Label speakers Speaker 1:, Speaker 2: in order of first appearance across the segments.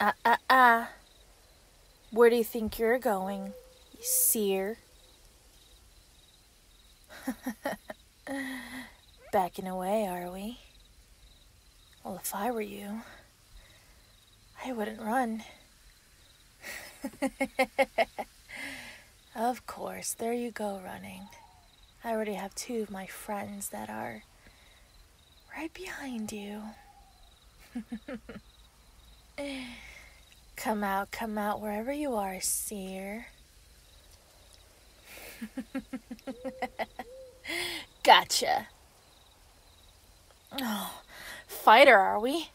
Speaker 1: Uh, uh, uh. Where do you think you're going, you seer? Backing away, are we? Well, if I were you. I wouldn't run. of course, there you go running. I already have two of my friends that are right behind you. come out, come out wherever you are, seer. gotcha. Oh, fighter, are we?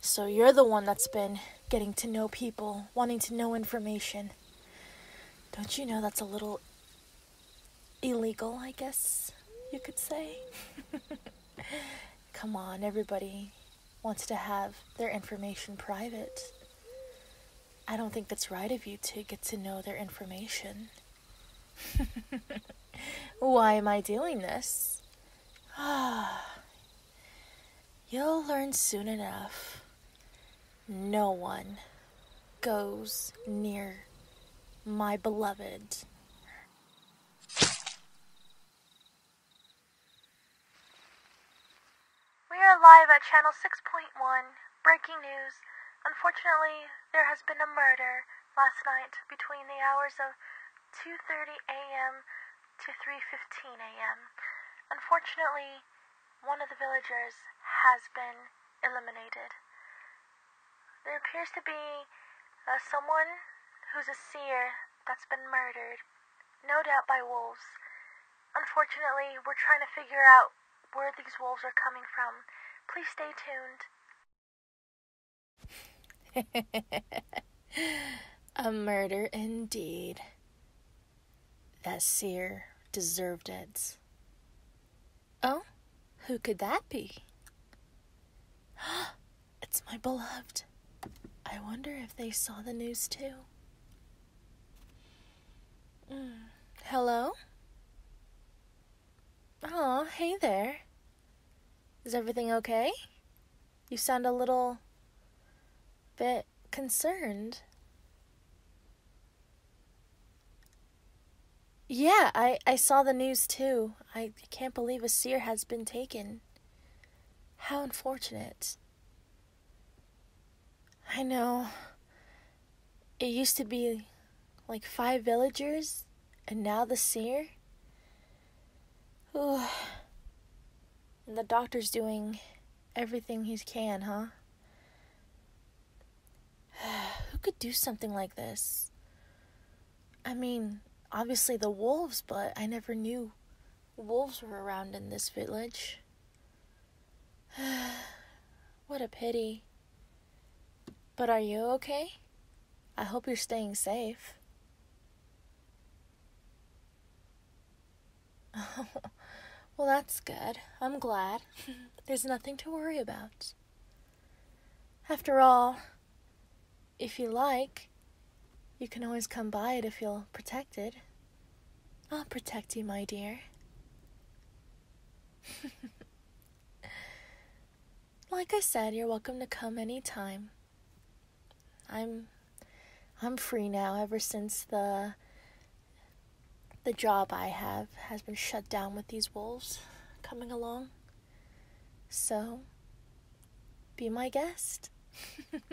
Speaker 1: So you're the one that's been getting to know people, wanting to know information. Don't you know that's a little illegal, I guess you could say? Come on, everybody wants to have their information private. I don't think that's right of you to get to know their information. Why am I doing this? Ah, You'll learn soon enough. No one goes near my beloved. We are live at channel 6.1. Breaking news. Unfortunately, there has been a murder last night between the hours of 2.30 a.m. to 3.15 a.m. Unfortunately, one of the villagers has been eliminated. There appears to be uh, someone who's a seer that's been murdered, no doubt by wolves. Unfortunately, we're trying to figure out where these wolves are coming from. Please stay tuned. a murder indeed. That seer deserved it. Oh, who could that be? it's my beloved. I wonder if they saw the news too. Hmm. Hello? Oh, hey there. Is everything okay? You sound a little bit concerned. Yeah, I, I saw the news too. I can't believe a seer has been taken. How unfortunate. I know. It used to be like five villagers, and now the seer? Ooh. the doctor's doing everything he can, huh? Who could do something like this? I mean, obviously the wolves, but I never knew wolves were around in this village. what a pity. But are you okay? I hope you're staying safe. well, that's good. I'm glad. There's nothing to worry about. After all, if you like, you can always come by to feel protected. I'll protect you, my dear. Like I said, you're welcome to come anytime. I'm I'm free now ever since the the job I have has been shut down with these wolves coming along. So, be my guest.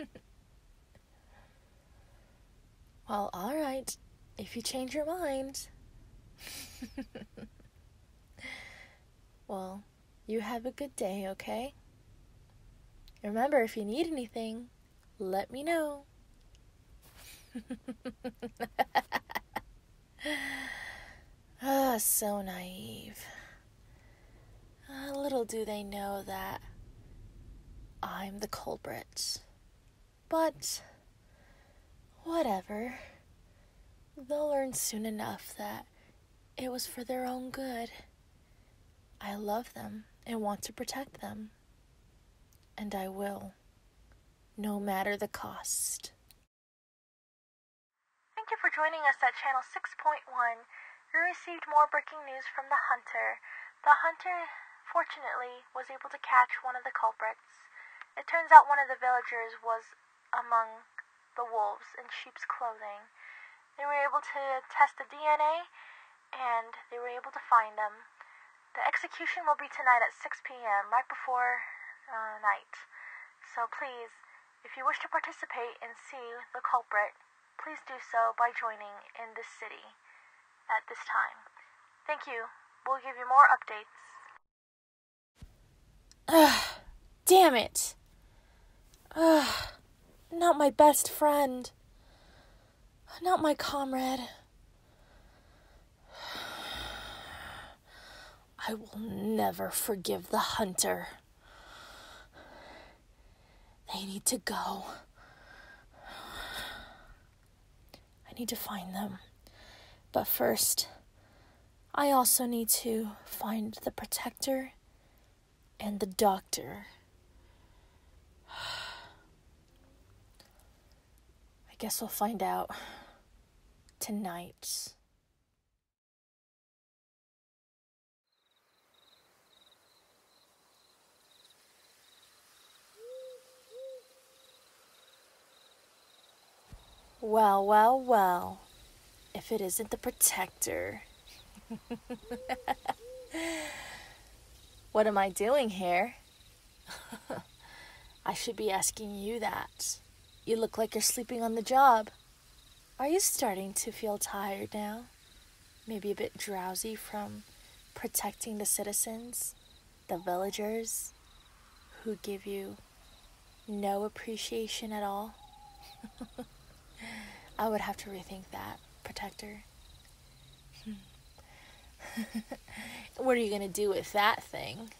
Speaker 1: well, all right, if you change your mind. Well, you have a good day, okay? Remember, if you need anything, let me know. Ah, so naive. Uh, little do they know that I'm the culprit. But Whatever. They'll learn soon enough that it was for their own good. I love them and want to protect them. And I will, no matter the cost. Thank you for joining us at Channel 6.1. We received more breaking news from the hunter. The hunter, fortunately, was able to catch one of the culprits. It turns out one of the villagers was among the wolves in sheep's clothing. They were able to test the DNA and they were able to find them. The execution will be tonight at 6 p.m., right before uh, night. So please, if you wish to participate and see the culprit, please do so by joining in this city at this time. Thank you. We'll give you more updates. Ugh, damn it. Ugh, not my best friend. Not my comrade. I will never forgive the hunter. They need to go. I need to find them. But first, I also need to find the protector and the doctor. I guess we'll find out tonight. Well, well, well. If it isn't the protector. what am I doing here? I should be asking you that. You look like you're sleeping on the job. Are you starting to feel tired now? Maybe a bit drowsy from protecting the citizens, the villagers who give you no appreciation at all. I would have to rethink that, protector. what are you going to do with that thing?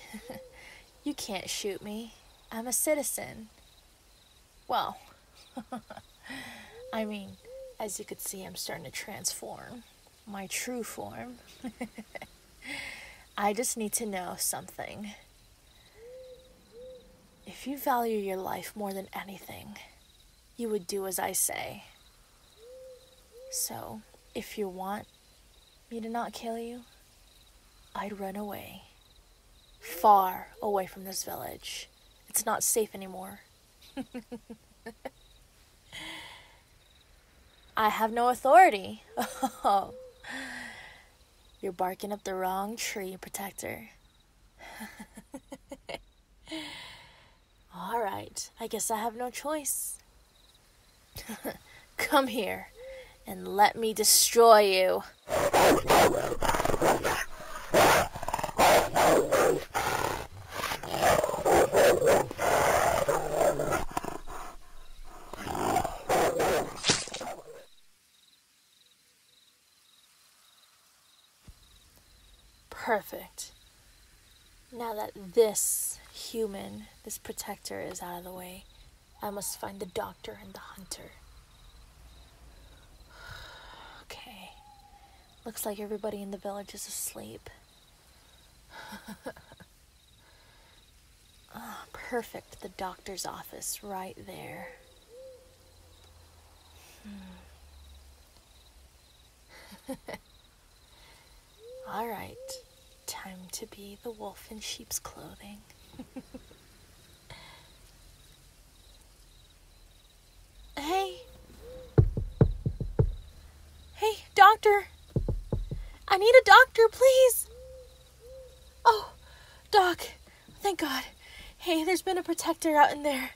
Speaker 1: you can't shoot me. I'm a citizen. Well, I mean, as you could see, I'm starting to transform my true form. I just need to know something. If you value your life more than anything, you would do as I say. So, if you want me to not kill you, I'd run away. Far away from this village. It's not safe anymore. I have no authority. Oh, you're barking up the wrong tree, Protector. All right, I guess I have no choice. Come here and let me destroy you. Perfect. Now that this human, this protector is out of the way, I must find the doctor and the hunter. Okay. Looks like everybody in the village is asleep. Ah, perfect, the doctor's office right there. Hmm. All right, time to be the wolf in sheep's clothing. hey. Hey, doctor. I need a doctor, please. Oh, Doc, thank God. Hey, there's been a protector out in there.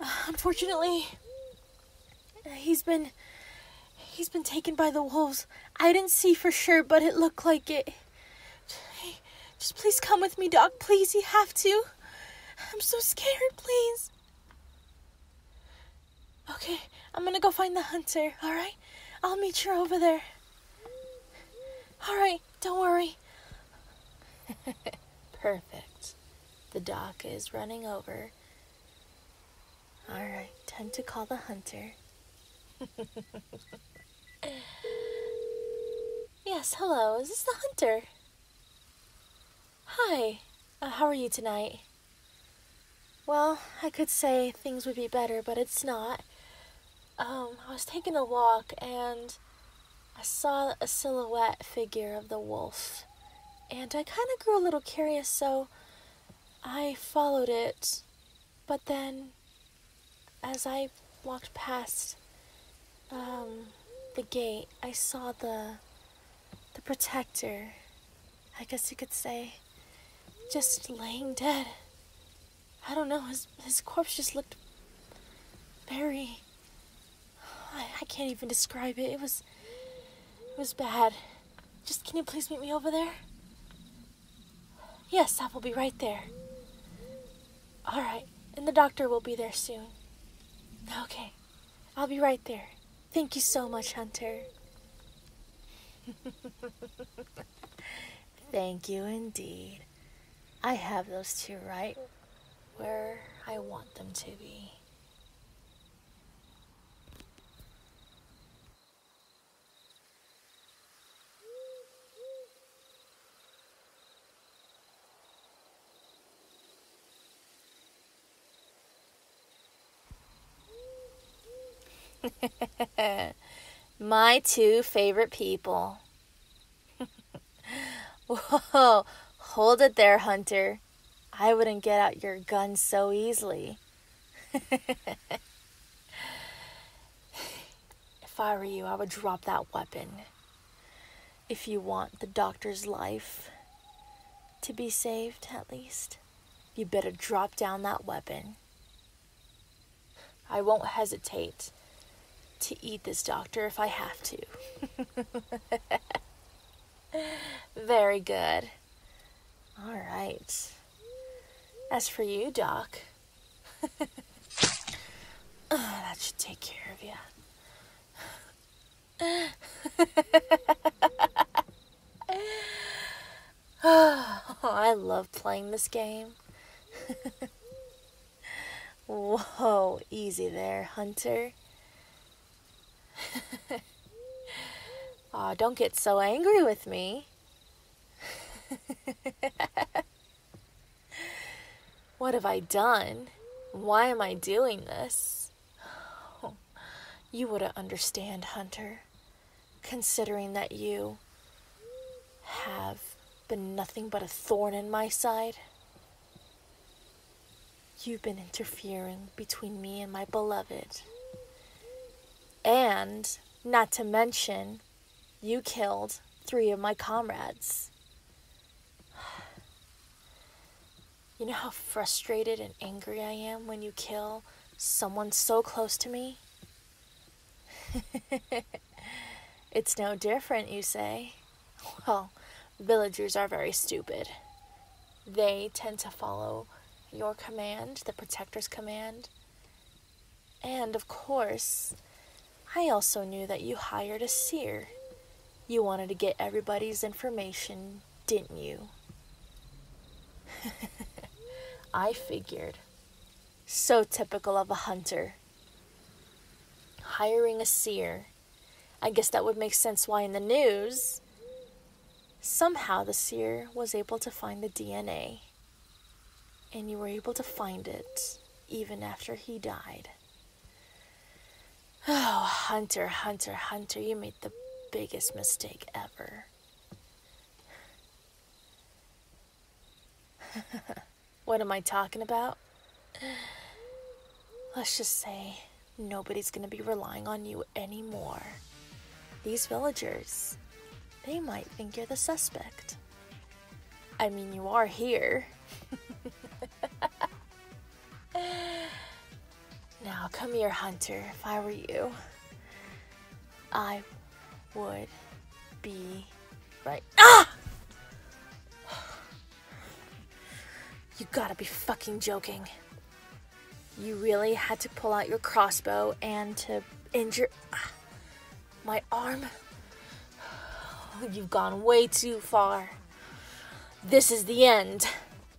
Speaker 1: Uh, unfortunately, he's been he's been taken by the wolves. I didn't see for sure, but it looked like it. Hey, just please come with me, Doc. Please, you have to. I'm so scared, please. Okay, I'm gonna go find the hunter, alright? I'll meet you over there. Alright, don't worry. Perfect. The dock is running over. Alright, time to call the hunter. yes, hello, is this the hunter? Hi, uh, how are you tonight? Well, I could say things would be better, but it's not. Um, I was taking a walk and I saw a silhouette figure of the wolf. And I kind of grew a little curious, so I followed it. But then, as I walked past um, the gate, I saw the the protector I guess you could say, just laying dead. I don't know, his, his corpse just looked very. I, can't even describe it. It was. It was bad. Just can you please meet me over there? Yes, I will be right there. All right, and the doctor will be there soon. Okay, I'll be right there. Thank you so much, Hunter. Thank you indeed. I have those two right where I want them to be. My two favorite people. Whoa, hold it there, Hunter. I wouldn't get out your gun so easily. if I were you, I would drop that weapon. If you want the doctor's life to be saved, at least you better drop down that weapon. I won't hesitate to eat this doctor if I have to. Very good. All right. As for you, Doc, that should take care of you. Oh, I love playing this game. Whoa, easy there, Hunter. Aw, don't get so angry with me. what have I done? Why am I doing this? Oh, you would understand, Hunter, considering that you have been nothing but a thorn in my side. You've been interfering between me and my beloved. And, not to mention, you killed three of my comrades. You know how frustrated and angry I am when you kill someone so close to me? it's no different, you say. Well, villagers are very stupid. They tend to follow your command, the protector's command. And of course, I also knew that you hired a seer. You wanted to get everybody's information didn't you? I figured. So typical of a hunter. Hiring a seer. I guess that would make sense why in the news. Somehow the seer was able to find the DNA. And you were able to find it even after he died. Oh, Hunter, Hunter, Hunter, you made the biggest mistake ever. what am I talking about? Let's just say nobody's gonna be relying on you anymore. These villagers, they might think you're the suspect. I mean, you are here. now, come here, Hunter. If I were you, I would be right. Ah! You gotta be fucking joking. You really had to pull out your crossbow and to injure my arm? You've gone way too far. This is the end.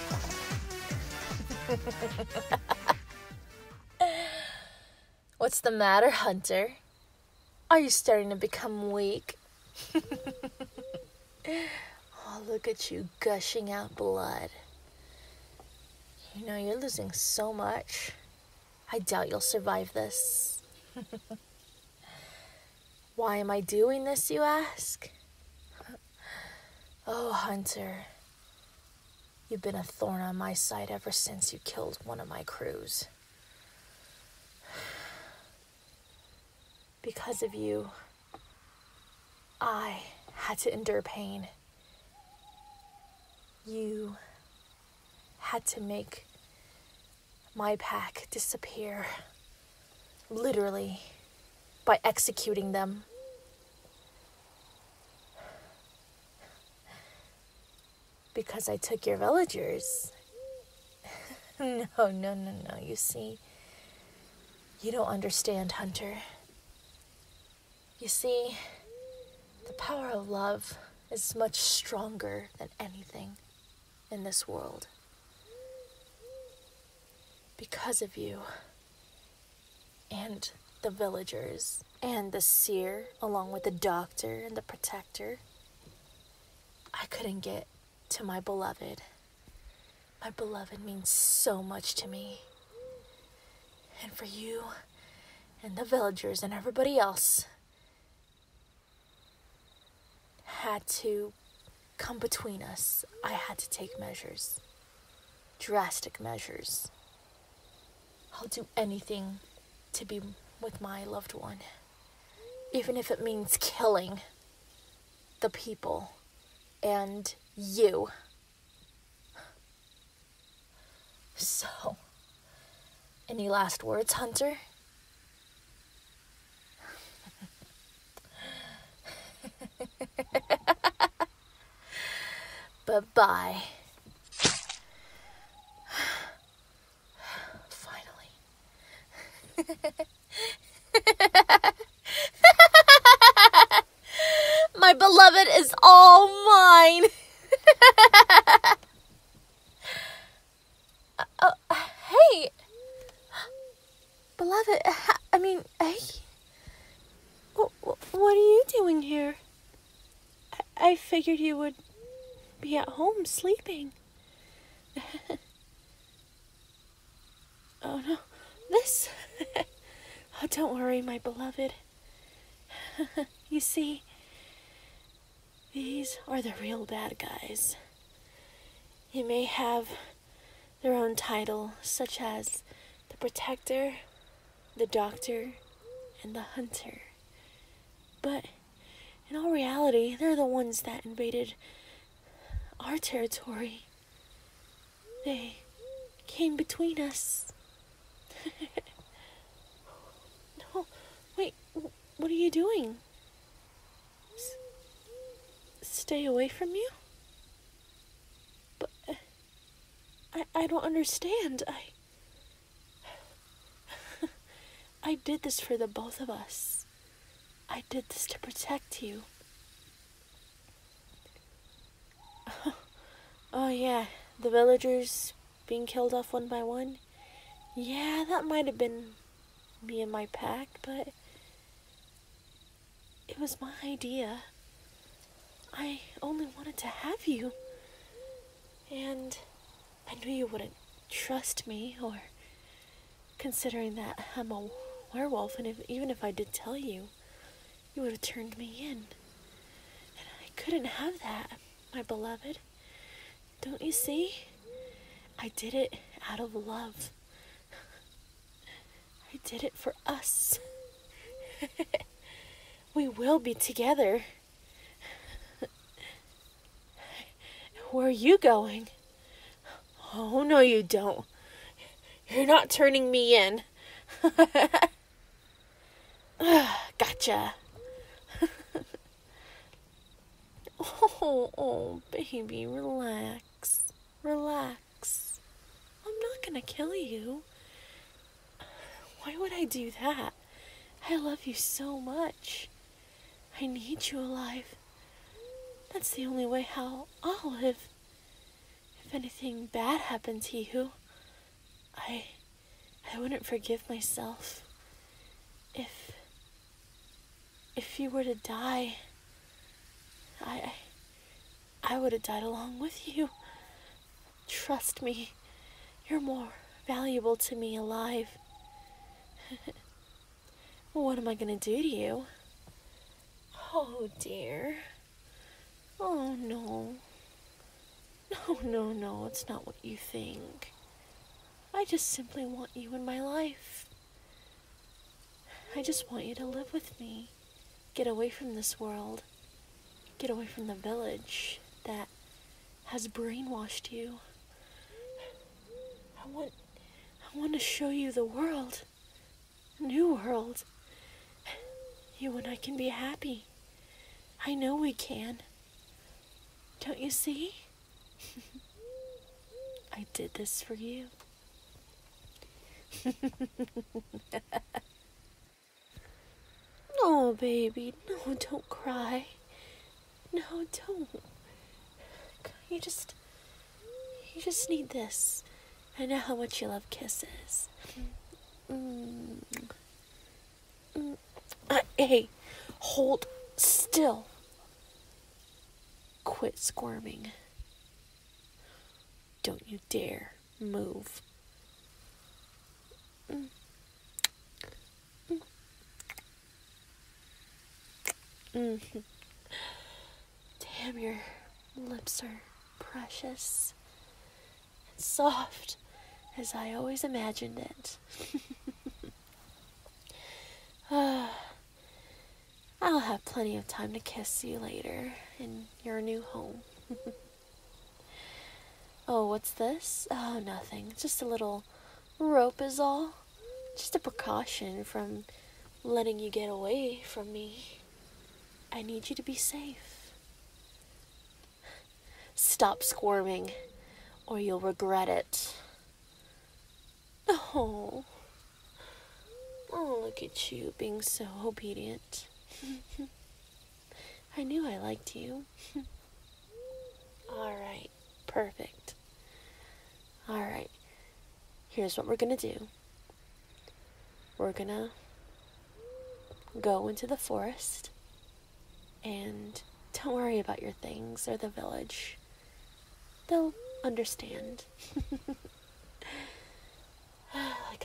Speaker 1: What's the matter, Hunter? Are you starting to become weak? oh, look at you gushing out blood. You know, you're losing so much. I doubt you'll survive this. Why am I doing this, you ask? Oh, Hunter, you've been a thorn on my side ever since you killed one of my crews. Because of you, I had to endure pain. You had to make my pack disappear literally, by executing them. Because I took your villagers. no, no, no, no. You see, you don't understand, Hunter. You see, the power of love is much stronger than anything in this world. Because of you and the villagers and the seer, along with the doctor and the protector, I couldn't get to my beloved. My beloved means so much to me. And for you and the villagers and everybody else, had to come between us. I had to take measures, drastic measures. I'll do anything to be with my loved one, even if it means killing the people and you. So, any last words, Hunter? Bye-bye. Finally. My beloved is all mine hey! Beloved, I mean, hey? What are you doing here? I figured you would be at home sleeping. oh no, this. oh, don't worry, my beloved. you see, these are the real bad guys. You may have their own title, such as the protector, the doctor, and the hunter. But in all reality, they're the ones that invaded our territory. They came between us. no, wait, what are you doing? stay away from you? But uh, I, I don't understand. I. I did this for the both of us. I did this to protect you. oh, yeah, the villagers being killed off one by one. Yeah, that might have been me and my pack, but it was my idea. I only wanted to have you. And I knew you wouldn't trust me, or considering that I'm a werewolf, and even if I did tell you, you would have turned me in. And I couldn't have that, my beloved. Don't you see? I did it out of love. I did it for us. we will be together. Where are you going? Oh, no, you don't. You're not turning me in. gotcha. Oh, oh, baby, relax. Relax. I'm not gonna kill you. Why would I do that? I love you so much. I need you alive. That's the only way how I'll live. If anything bad happens to you, I I wouldn't forgive myself. If if you were to die, I, I would have died along with you. Trust me, you're more valuable to me alive. what am I going to do to you? Oh dear. Oh no. No, no, no, it's not what you think. I just simply want you in my life. I just want you to live with me. Get away from this world. Get away from the village that has brainwashed you. I want I want to show you the world. New world. You and I can be happy. I know we can. Don't you see? I did this for you. no, baby. No, don't cry. No, don't. You just. You just need this. I know how much you love kisses. Mm. Mm. hey, hold still. Quit squirming. Don't you dare move. Damn, your lips are precious and soft as I always imagined it. I'll have plenty of time to kiss you later in your new home. oh, what's this? Oh, nothing. Just a little rope is all. Just a precaution from letting you get away from me. I need you to be safe. Stop squirming, or you'll regret it. Oh. Oh, look at you being so obedient. I knew I liked you. All right, perfect. All right, here's what we're gonna do we're gonna go into the forest and don't worry about your things or the village they'll understand. like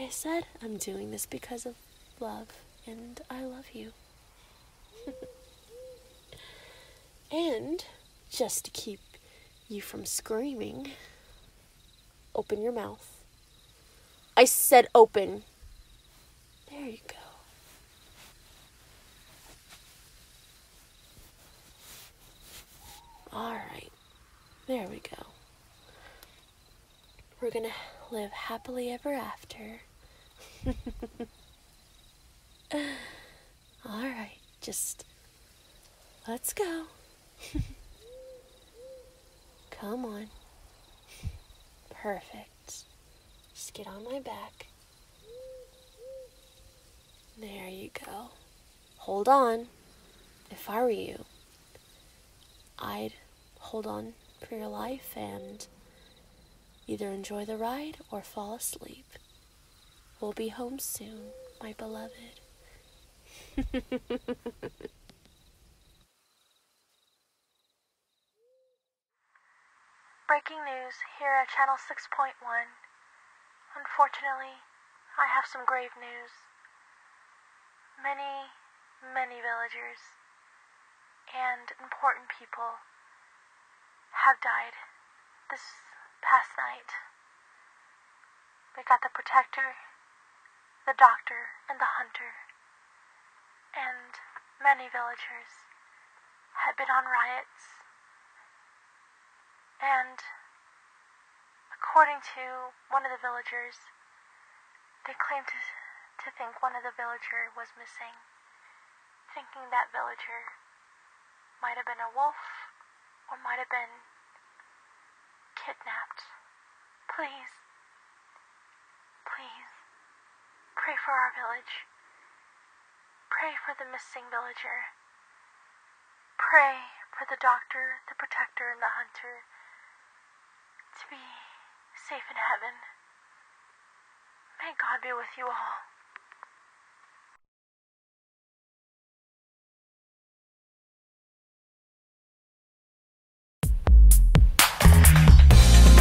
Speaker 1: I said, I'm doing this because of love, and I love you. and just to keep you from screaming, open your mouth. I said open. There you go. Alright, there we go. We're gonna live happily ever after. Alright, just let's go. Come on. Perfect. Just get on my back. There you go. Hold on. If I were you, I'd hold on for your life and either enjoy the ride or fall asleep. We'll be home soon, my beloved. Breaking news here at Channel 6.1. Unfortunately, I have some grave news. Many, many villagers and important people have died this past night. We got the protector, the doctor, and the hunter, and many villagers had been on riots. And, according to one of the villagers, they claimed to, think one of the villager was missing, thinking that villager might have been a wolf or might have been kidnapped. Please, please, pray for our village. Pray for the missing villager. Pray for the doctor, the protector, and the hunter to be safe in heaven. May God be with you all.